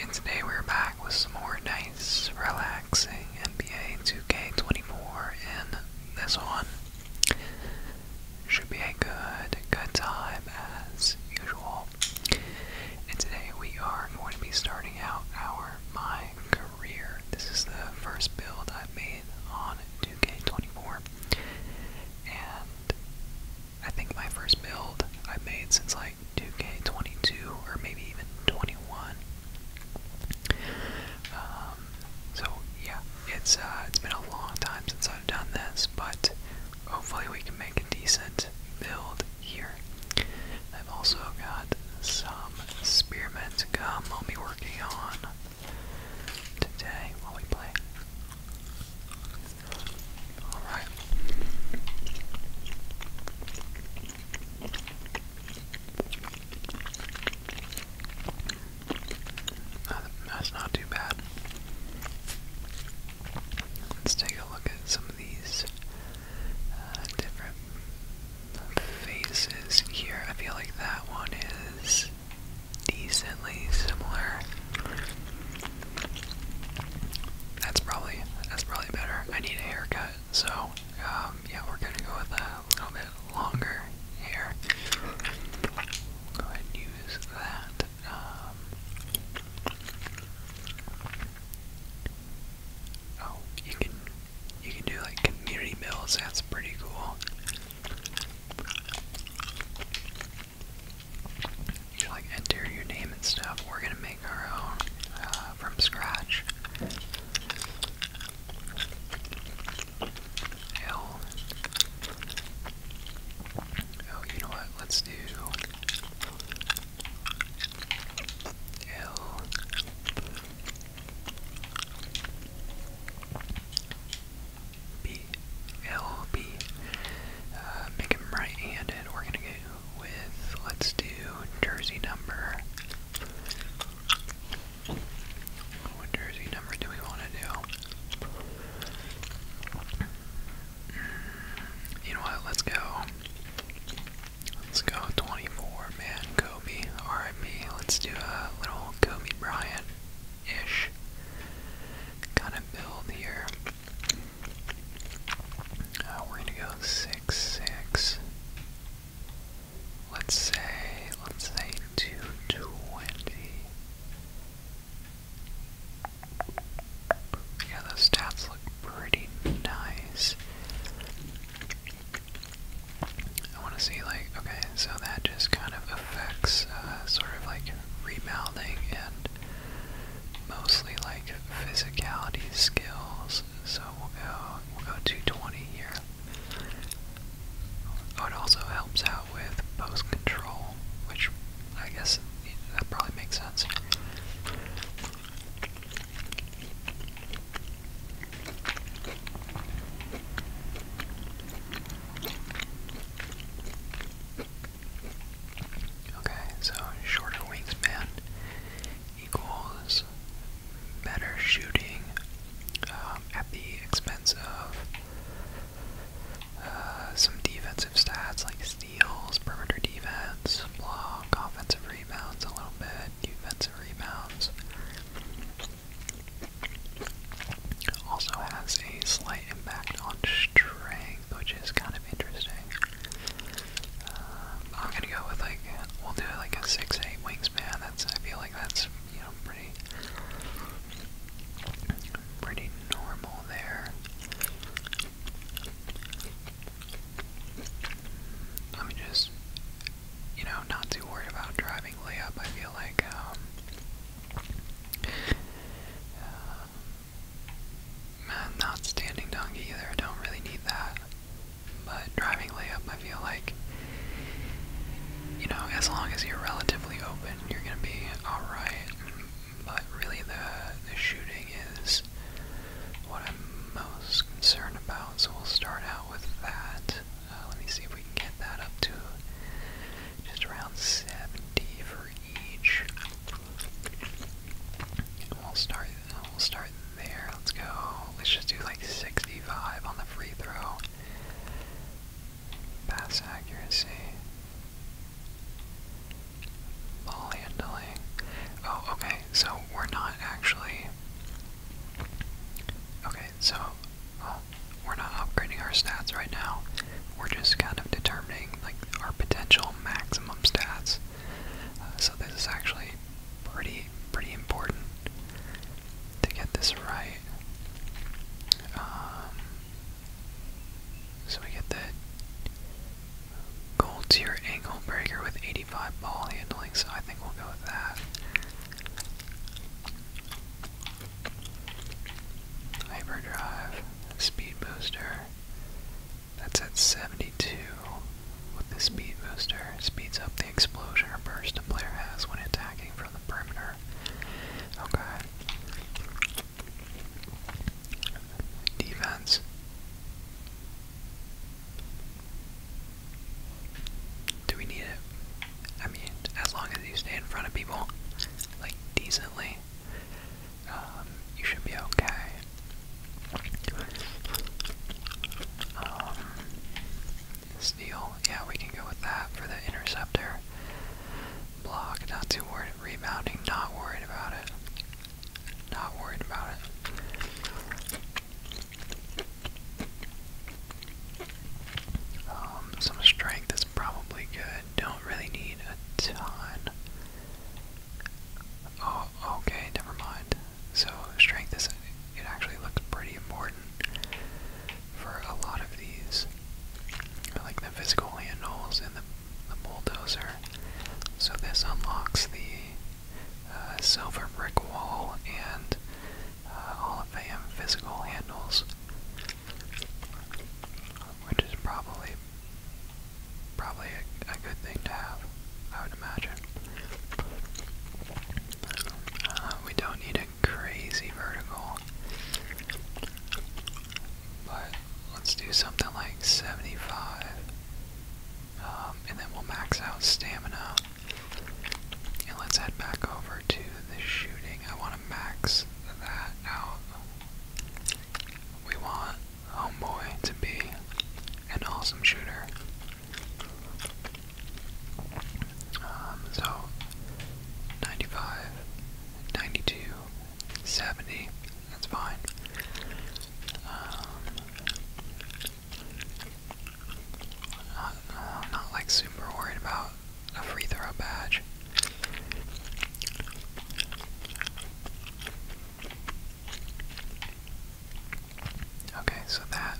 And today we're back with some more nice, relaxing NBA 2K24, and this one should be a good, good time as usual. And today we are going to be starting out our My Career. This is the first build i made on 2K24, and I think my first build I have made since like 2K22 or maybe even 21. Um, so yeah, it's uh, it's been a long time since I've done this, but hopefully we can make a decent build here. I've also got some spearmint gum I'll be working on today while we play. All right. That's not too bad. Let's take a look at some of these uh, different faces here. I feel like that one is decently similar that's probably that's probably better. I need a haircut, so um, yeah, we're gonna go with a little bit longer hair. Go ahead use that. Um, oh, you can you can do like community builds. That's pretty cool you like enter your name and stuff. We're gonna make our own uh, from scratch. L. Oh, you know what? Let's do L. B. LB. Uh, make him right-handed. We're gonna go with let's do jersey number. What jersey number do we want to do? Mm, you know what? Let's go. Let's go 24, man. Kobe, RIP. Let's do a little Kobe Bryant ish kind of build here. Uh, we're gonna go six six. Let's say let's say two twenty. Yeah, those stats look pretty nice. I want to see like okay, so that just kind of affects uh, sort of like rebounding and mostly like physicality skills. So uh, we'll go we'll go 220 here. Oh, it also helps out with post control, which I guess that probably makes sense. Okay, so shorter wingspan equals better shooting um, at the expense of uh, some defensive stats like steals, perimeter defense, block, offensive rebounds a little bit, defensive rebounds. Also has a slight impact on strength which is kind of interesting. Um, I'm gonna go with like we'll do like a six eight wingspan. That's I feel like that's you know pretty pretty normal there. Let me just you know not too worried about driving layup. I feel like um, uh, i not standing donkey either. don't really need that. But driving layup, I feel like, you know, as long as you're relatively open, you're gonna be alright. But really, the the shooting is what I'm most concerned about. So we'll start out with that. Uh, let me see if we can get that up to just around 70 for each we'll start. We'll start there. Let's go. Let's just do like 65 on the free throw. Pass accuracy. Ball handling. Oh, okay. So we're not actually. Okay, so oh, we're not upgrading our stats right now we're just kind of determining like our potential maximum stats. Uh, so this is actually pretty pretty important to get this right. Um, so we get the gold tier angle breaker with 85 ball handling. So I think we'll go with that. Hyperdrive, speed booster. That's at 72 with the speed booster. Speeds up the explosion burst a player has when attacking from the perimeter. Okay. Defense. Do we need it? I mean, as long as you stay in front of people, like decently, um, you should be okay. Um, yeah, we can go with that for the interceptor. Block, not too worried. Rebounding, not worried about it. Not worried about it. Um, some strength is probably good. Don't really need a ton. Oh, okay, never mind. So strength is it actually looks pretty important for a lot of these. Like the physical handles and the, bulldozer. So this unlocks the uh, silver brick wall and uh, all of the um, physical handles which is probably probably a, good thing to have, I would imagine. Uh, we don't need a crazy vertical, but let's do something like 75, um, and then we'll max out stamina. And let's head back over to the shooting. I want to max that out. We want Homeboy to be an awesome shooter. Um, so 95, that's fine. Um, not like super worried about a free throw badge. Okay, so that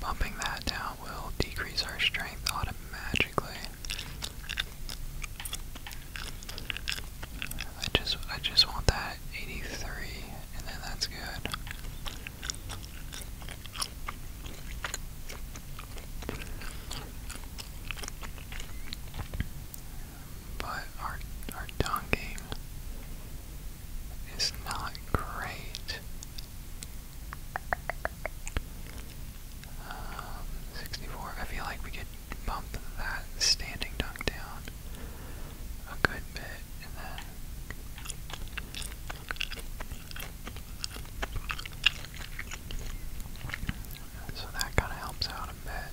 bumping that down will decrease our strength automatically. I just I just want that 83 and then that's good but our our tongue is not great. Um, 64. I feel like we could bump that standing dunk down a good bit, and then so that kind of helps out a bit.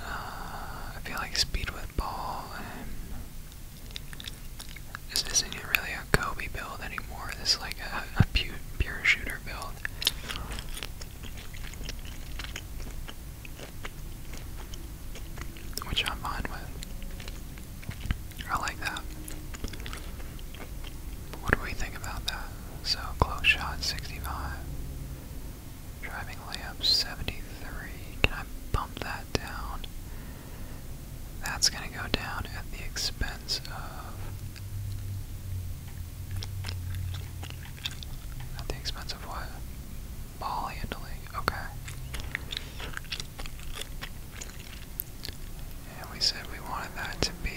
Uh, I feel like speed with ball, this isn't really a Kobe build anymore. This is like a, pure shooter build. Which I'm fine with. I like that. What do we think about that? So close shot 65. Driving layup 73. Can I bump that down? That's going to go down at the expense of. At the expense of what? Ball handling. Okay. And we said we wanted that to be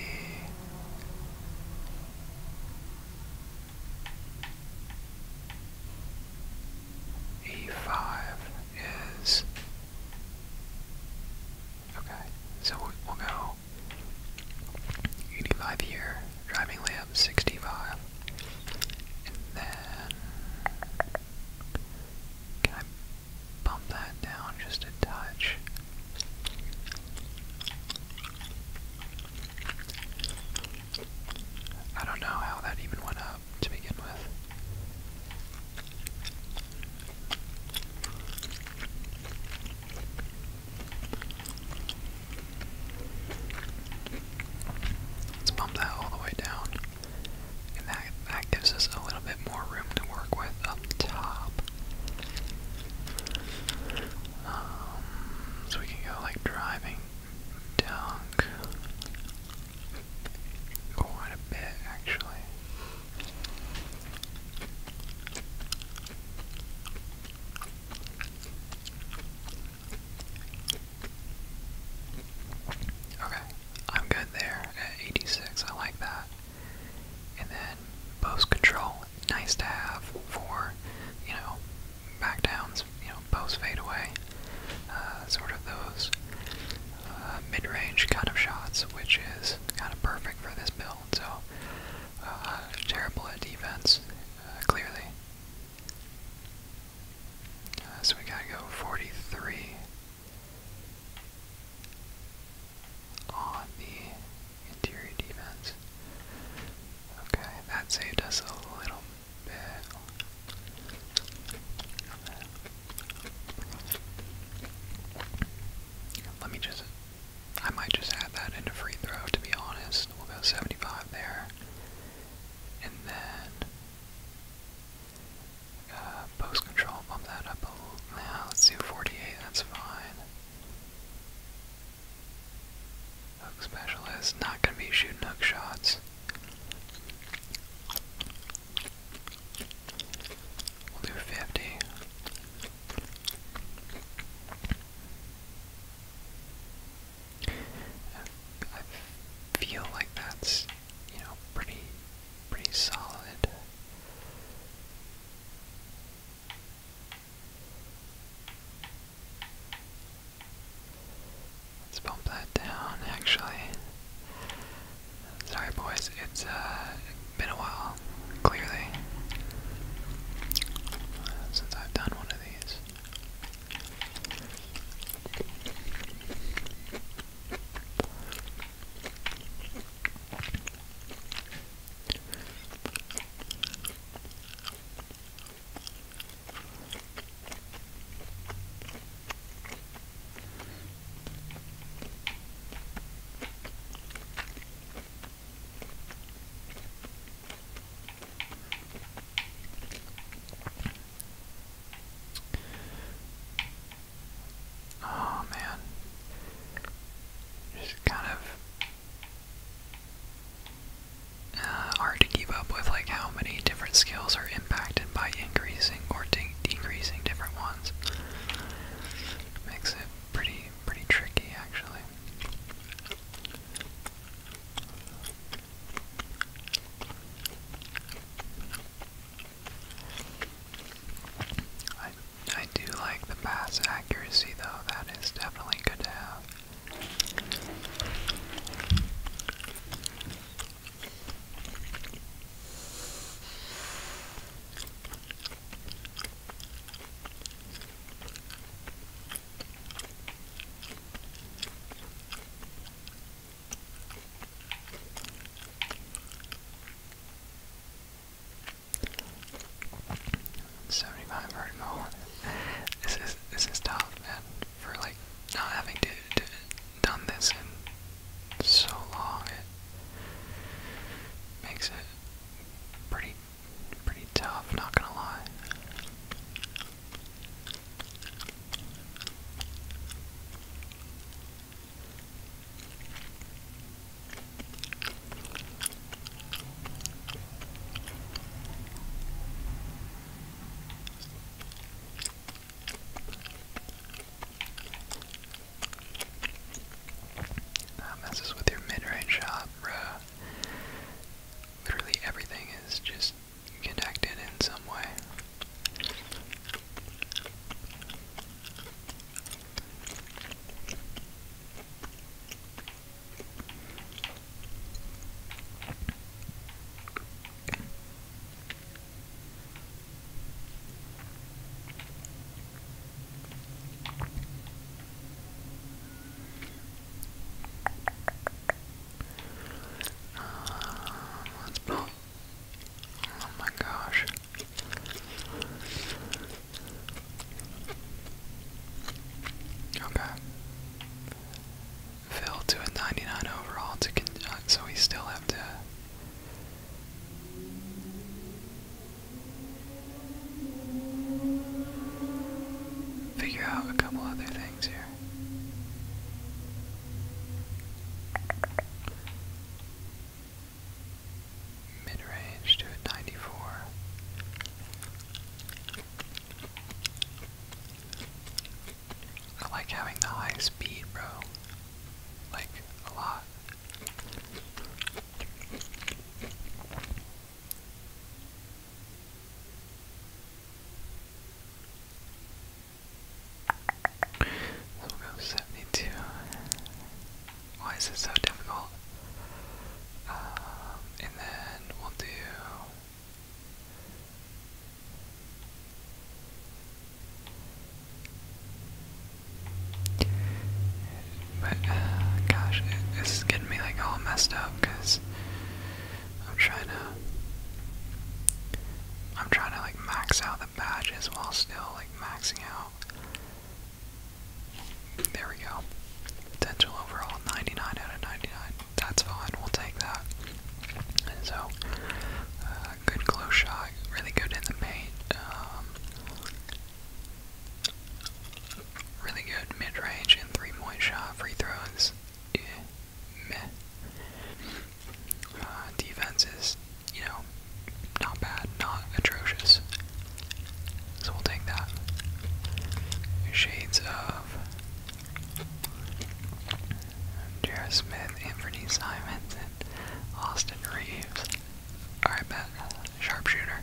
E5 is okay. So we'll, go e here, driving lamp 65, and then can that down just a touch? I don't know how that even went up to begin with. Let's bump that all the way down. And that, that gives us a little bit more room to work with up top. Um, so we can go like driving down quite a bit actually. Okay, I'm good there at 86. I like that. And then post control, nice to have for, you know, back downs, you know, post fadeaway, uh, sort of those uh, mid range kind of shots, which is kind of perfect for this build. So, uh, terrible at defense, uh, clearly. Uh, so we gotta go 43 on the interior defense. Okay, that saved us a little bit. Let me just, I might just add that into free throw to be honest. we 75 there. And then uh, post control, bump that up a little. Now let's do 48, that's fine. Hook specialist, not gonna be shooting hook shots. We'll do 50. I feel like that's, you know, pretty, pretty solid. Let's bump that down, actually. Sorry, boys, it's uh, been a while, clearly, since I've done one of these. Oh man. Just kind of uh, hard to keep up with like how many different skills are impacted by increasing or decreasing different ones. Makes it pretty pretty tricky actually. I, I do like the pass accuracy though, that is definitely good to have. 75 hard mode. This is this is tough, man. For like not having to, to done this in so long, it makes it pretty pretty tough. Not gonna lie. That messes with your mid-range shot, bro. Literally everything is just connected in some way. Uh, let Oh my gosh. Okay. Phil to a 99 overall to uh, so we still have to. Figure out a couple other things here mid-range to a 94. I like having the high speed, bro. Like, a lot. So we'll go 72. Why is it so difficult? Um, and then we'll do. But uh, gosh, this is getting me like all messed up because I'm trying to, I'm trying to like max out the badges while still like maxing out there we go. Potential overall 99 out of 99. That's fine. We'll take that. so, uh, good close shot. Really good in the paint. Um, really good mid-range and three-point shot. Free throws. meh. Uh, defense is, you know, not bad, not atrocious. So we'll take that. Shades of Jared Smith, Anthony Simons, and Austin Reeves. Alright, bet. Sharpshooter.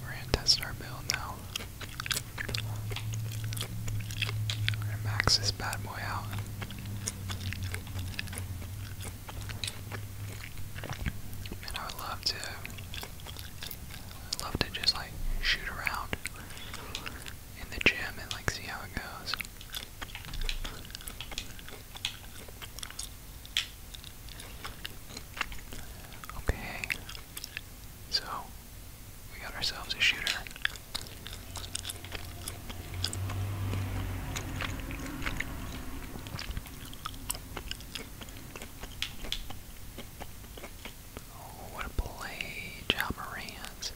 We're gonna test our build now. We're gonna max this bad boy out. And I would love to love to just like shoot around in the gym and like see how it goes. Okay. So we got ourselves a shooter. Oh, what a play, Ja Morant.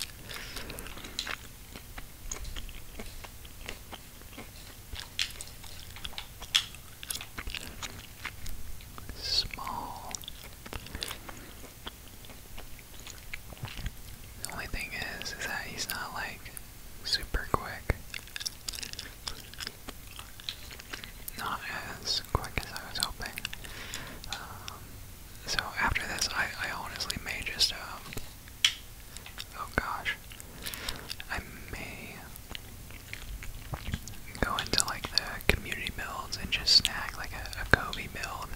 Small. The only thing is, is that he's not like super quick. Not as quick as I was hoping. Um, so after this, I, I honestly may just, um, oh gosh, I may go into like the community builds and just snag like a Kobe build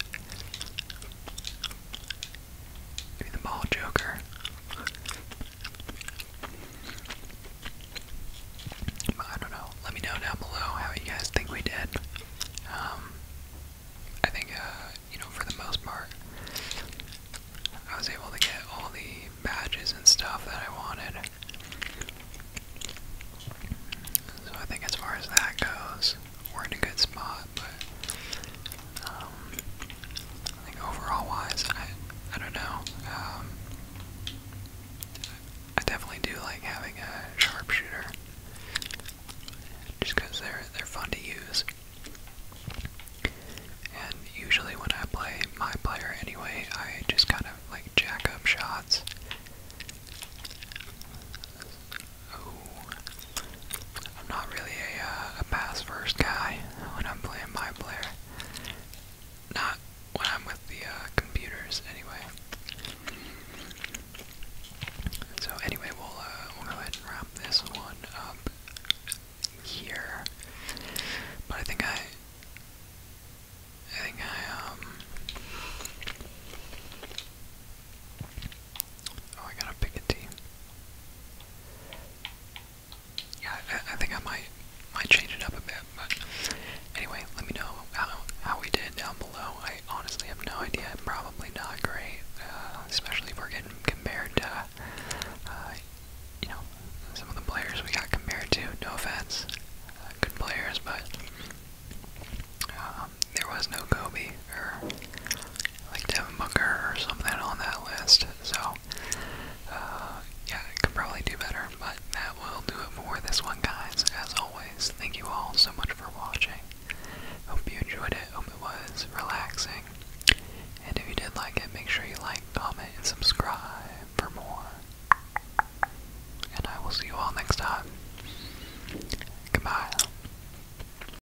the ball, Joker. I don't know. Let me know down below how you guys think we did. Um, I think, uh, you know, for the most part, I was able to get all the badges and stuff that I wanted. So I think as far as that goes, we're in a good spot, but um, I overall wise, I I don't know. Um, I definitely do like having a sharpshooter, just because they're they're fun to use. And usually when I play my player anyway, I just kind of like jack up shots. I'm not really uh, a, pass first guy when I'm playing my player. Not when I'm with the uh, computers, anyway. So anyway, we'll uh, we'll go ahead and wrap this one up here. But I think I, I think I um, Oh, I gotta pick a team. Yeah, I, think I might might change it up a bit, but anyway, let me know how how we did down below. I honestly have no idea. Probably not great, uh, especially if we're getting compared to, uh, you know, some of the players we got compared to. No offense, uh, good players, but um, there was no Kobe or like Devin Booker or something on that list. So, uh, yeah, it could probably do better, but that will do it for this one, guys. As always, thank you all so much for watching. Hope you enjoyed it. Hope it was relaxing. And if you did like it, make sure you like, comment, and subscribe for more. And I will see you all next time. Goodbye.